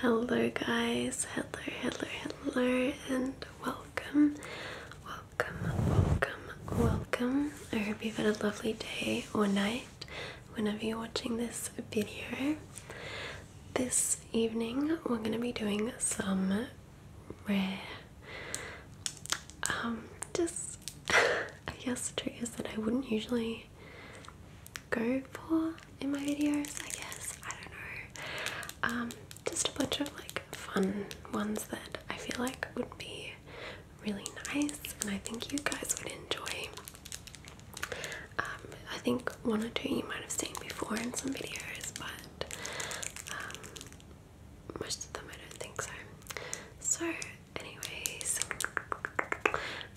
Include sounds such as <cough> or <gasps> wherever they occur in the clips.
Hello guys, hello, hello, hello, and welcome, welcome, welcome, welcome. I hope you've had a lovely day or night whenever you're watching this video. This evening, we're going to be doing some rare, um, just <laughs> I guess is that I wouldn't usually go for in my videos. I guess I don't know. Um, just a bunch of like fun ones that I feel like would be really nice, and I think you guys would enjoy. Um, I think one or two you might have seen before in some videos, but um, most of them I don't think so. So, anyways,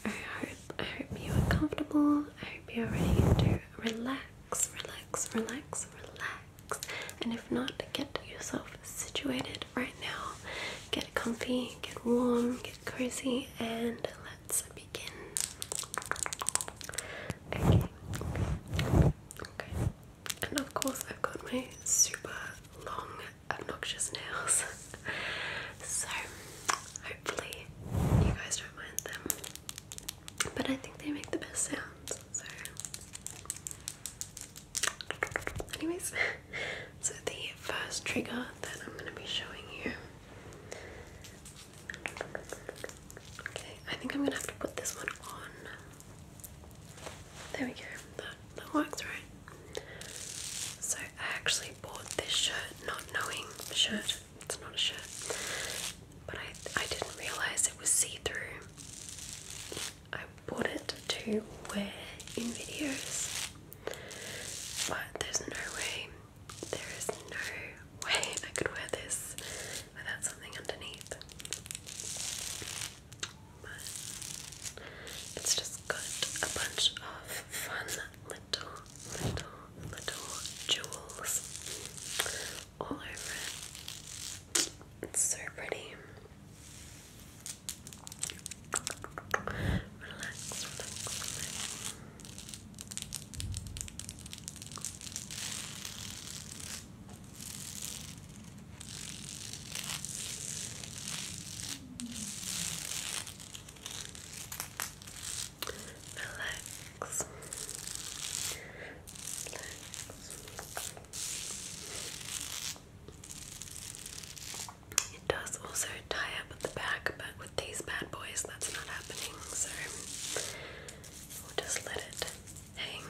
I hope I hope you are comfortable. I hope you are ready to relax, relax, relax, relax. And if not, get yourself situated right now. Get comfy, get warm, get cozy, and let and of course, I've got my super long, obnoxious nails. <laughs> so hopefully, you guys don't mind them. But I think they make the best sounds. So, anyways, <laughs> so the first trigger that I'm going to be showing you Okay, I think I'm gonna have to put this one on. There we go. That works, right? So I actually bought this shirt not knowing shirt. It's not a shirt, but I I didn't realize it was see through. I bought it to wear in videos, but there's no way there is no way I could wear this without something underneath. But it's just got a bunch of fun little, little, little jewels all over it. It's so pretty. Relax, relax, relax. Relax. Relax. It does also tie up at the back, but with these bad boys, that's not happening. So just let it hang.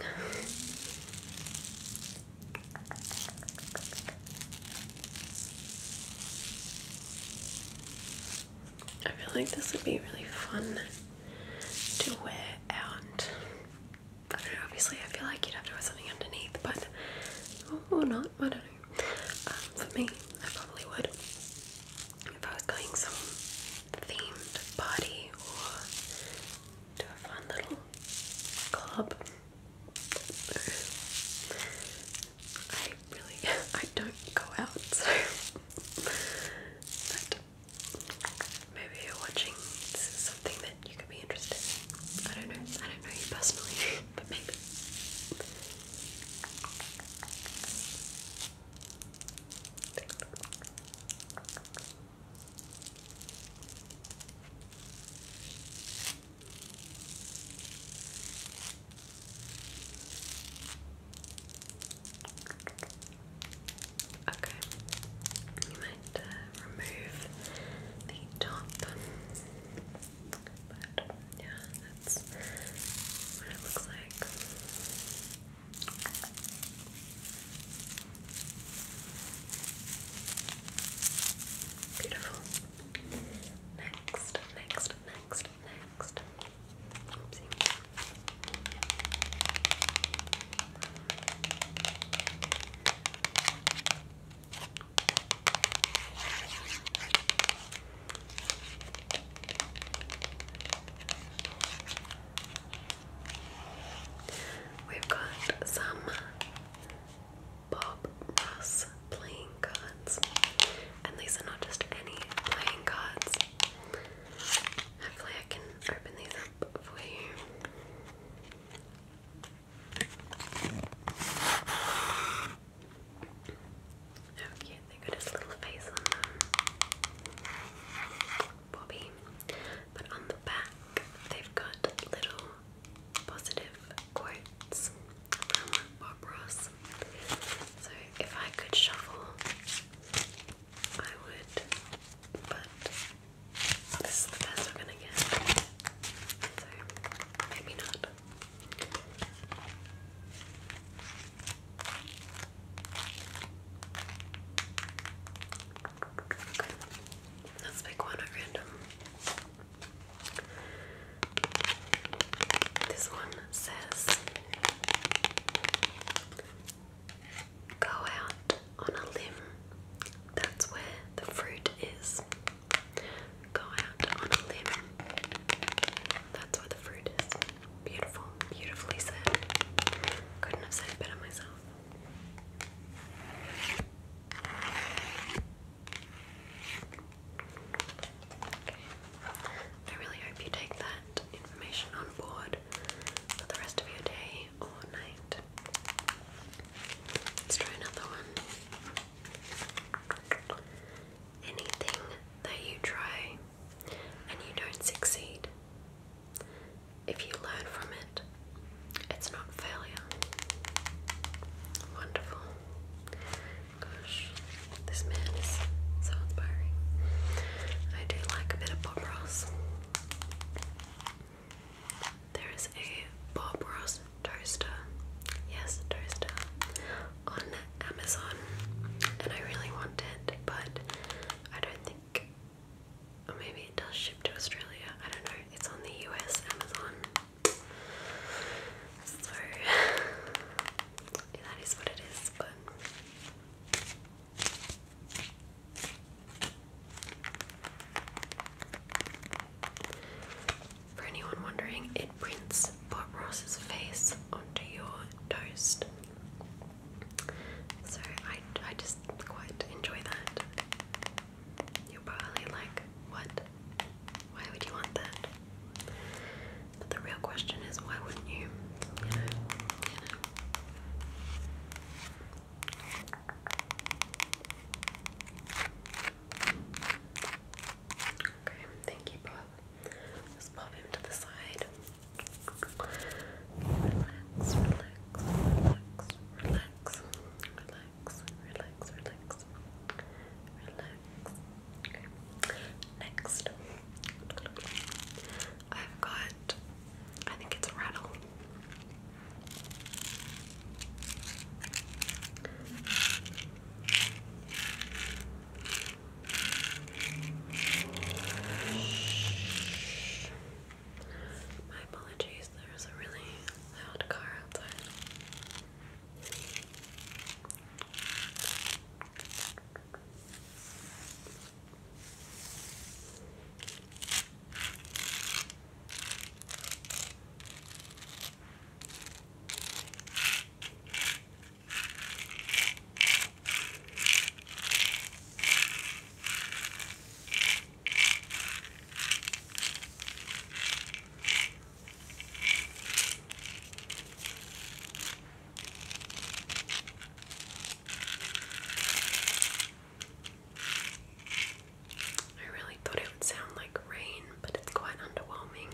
I feel like this would be really fun to wear out. I don't know, obviously, I feel like you'd have to wear something underneath, but or not, I don't know. Um, for me, I probably would if I was going some themed party or to a fun little club. I really, <laughs> I don't go out, so. but maybe you're watching this is something that you could be interested in. I don't know. I don't know you personally, <laughs> but maybe. Okay, you might uh, remove the top, but yeah, that's what it looks like. Beautiful. Next, next, next, next. We've got some Bob Ross playing cards, and these are not just any playing cards. Hopefully, I can open these up for you. How they got his little face on them. Bobby. But on the back, they've got little positive quotes from Bob Ross. So if I could shuffle, I would. But this is the best we're gonna get. So maybe not. Let's pick one at random. This one says Go out on a limb. That's where the fruit is. Go out on a limb. That's where the fruit is. Beautiful, beautifully said. Couldn't have said it better myself. Okay. I really hope you take that information on board for the rest of your day or night. Let's try another one. Anything that you try and you don't succeed, if you learn from it, it's not failure. Wonderful. Gosh, this man is so inspiring. I do like a bit of Bob Ross. There is a Bob Ross toaster, yes, toaster, on Amazon, and I really want it, but I don't think, or maybe it does ship to Australia. I don't know. It's on the US Amazon. So <laughs> that is what it is, but. For anyone wondering, it prints Bob Ross's face onto your toast. So I, I just quite enjoy that. you probably like, what? Why would you want that? But the real question is, why wouldn't you? Okay, thank you, Bob. Just pop him to the side. Relax, relax, relax, relax, relax, relax, relax, relax. Okay. Next, I've got, I think it's rattle. Shh. My apologies, there's a really loud car outside. I really thought it would sound like rain, but it's quite underwhelming.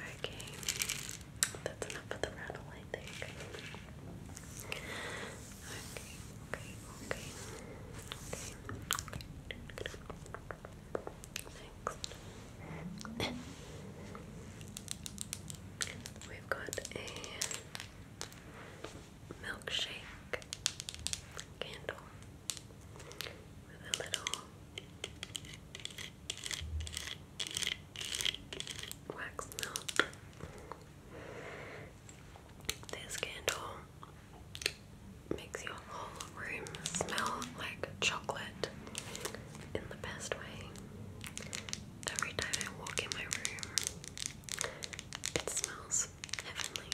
Okay, that's enough of the rattle, I think. Okay, okay, okay. okay. Next. We've got a milkshake candle with a little wax melt. This candle makes your whole room smell like chocolate in the best way. Every time I walk in my room, it smells heavenly.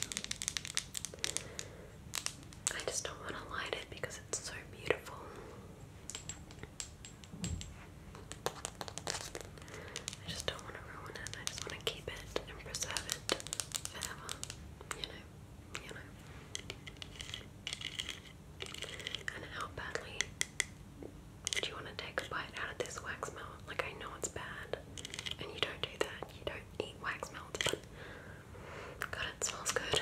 I just don't want to light it because it's so beautiful. I just don't want to ruin it. I just want to keep it and preserve it forever. You know, you know. And how badly do you want to take a bite out of this wax melt? Like, I know it's bad, and you don't do that. You don't eat wax melts, but God, it smells good.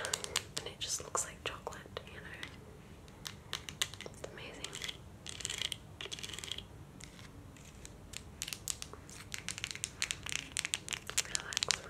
And it just looks like chocolate, you know? amazing. relax.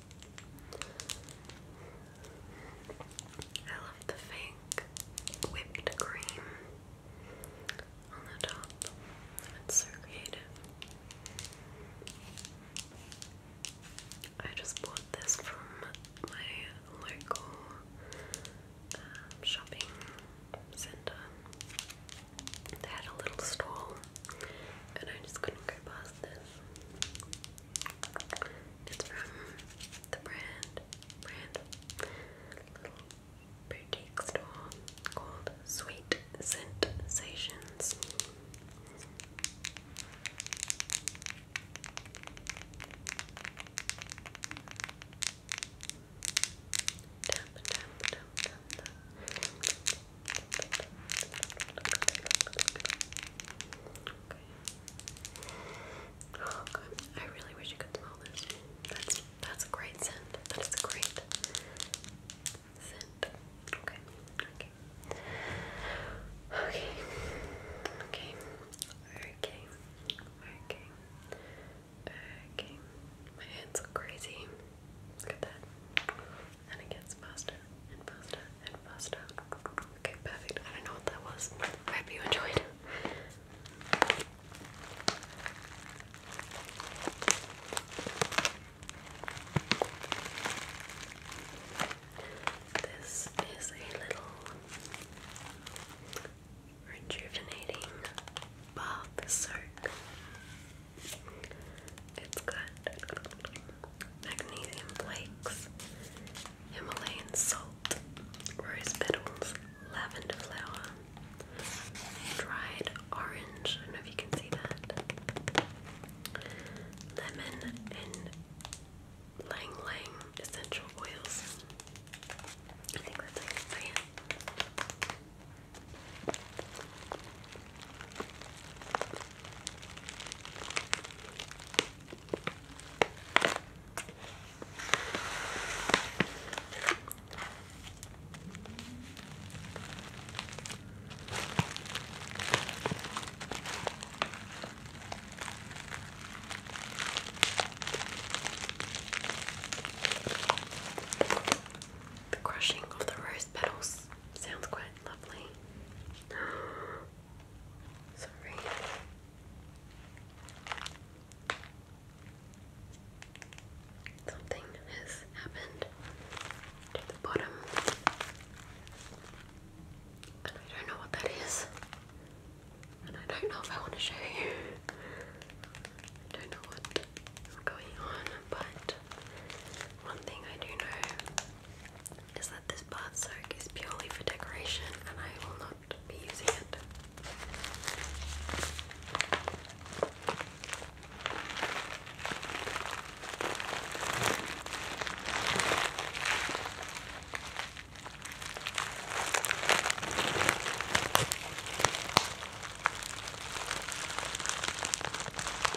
I love the fake whipped cream on the top. It's so creative. I just bought this from my local um, shopping centre. They had a little stall, and I just couldn't go past it's from the brand, brand, little boutique store called Sweet Sensations. Tap, tap, tap, tap. Oh god, I really wish you could smell this. That's that's a great scent. That is a great scent. Okay. Okay. Okay. Okay. Okay. My hands look crazy. Look at that and it gets faster and faster and faster. Okay, perfect. I don't know what that was. hope you enjoyed. This is a little rejuvenating bath soak. It's got magnesium flakes, Himalayan salt, rose petals, lavender flower, dried orange. I don't know if you can see that. Lemon and Lang Lang essential oils. I think that's how you say the crushing of the rose petals sounds quite lovely. <gasps> Sorry. Something has happened to the bottom. And I don't know what that is. And I don't know if I want to show you. don't know what is going on, but one thing I do know is that this bath soak is purely for decoration and I will not be using it.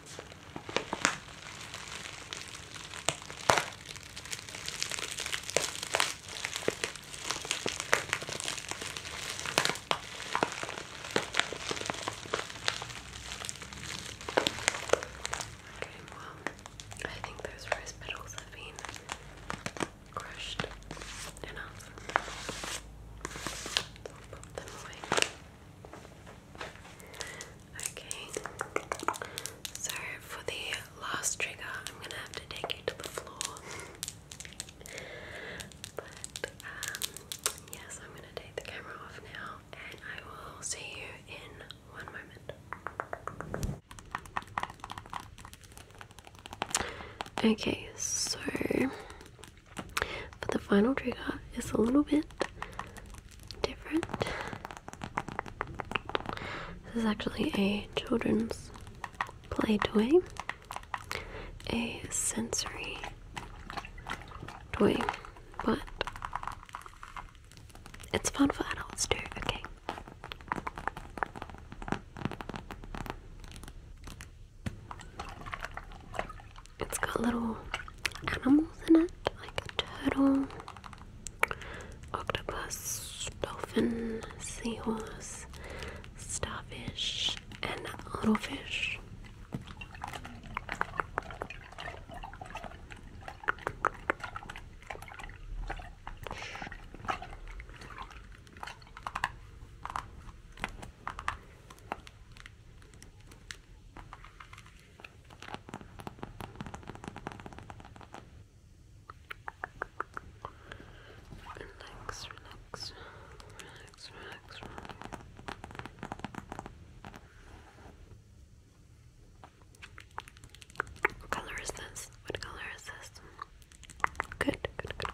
Okay, well, I think those rose petals have been crushed enough. I'll pop them away. Okay, so for the last trigger, I'm gonna have to take you to the floor. but um, yes, I'm gonna take the camera off now, and I will see you in one moment. Okay, so for the final trigger, it's a little bit different. This is actually a children's play toy, a sensory toy, but it's fun for adults too, okay? It's got little animals in it, like a turtle, octopus, dolphin, seahorse, starfish, and a little fish. Relax, relax, relax, relax, relax. What color is this? What color is this? Good, good, good.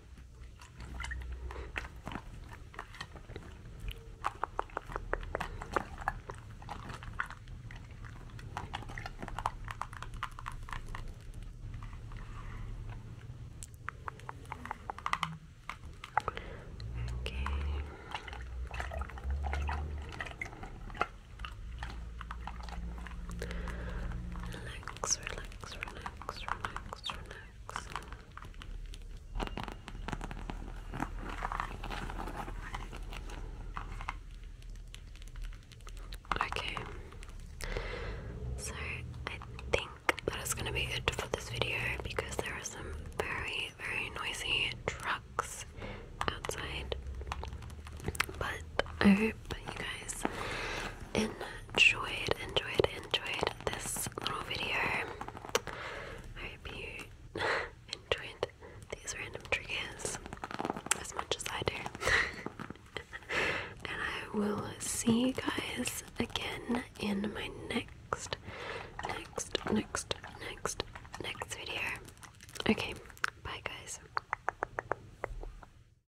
Okay. Relax, relax, relax relax, Okay, so I think that is going to be it for this video because there are some very, very noisy trucks outside. But I hope you guys enjoyed enjoyed, enjoyed, enjoyed this little video. I hope you <laughs> enjoyed these random triggers as much as I do. <laughs> and I will see you guys again in my next, next, next, next, next video. Okay, bye guys.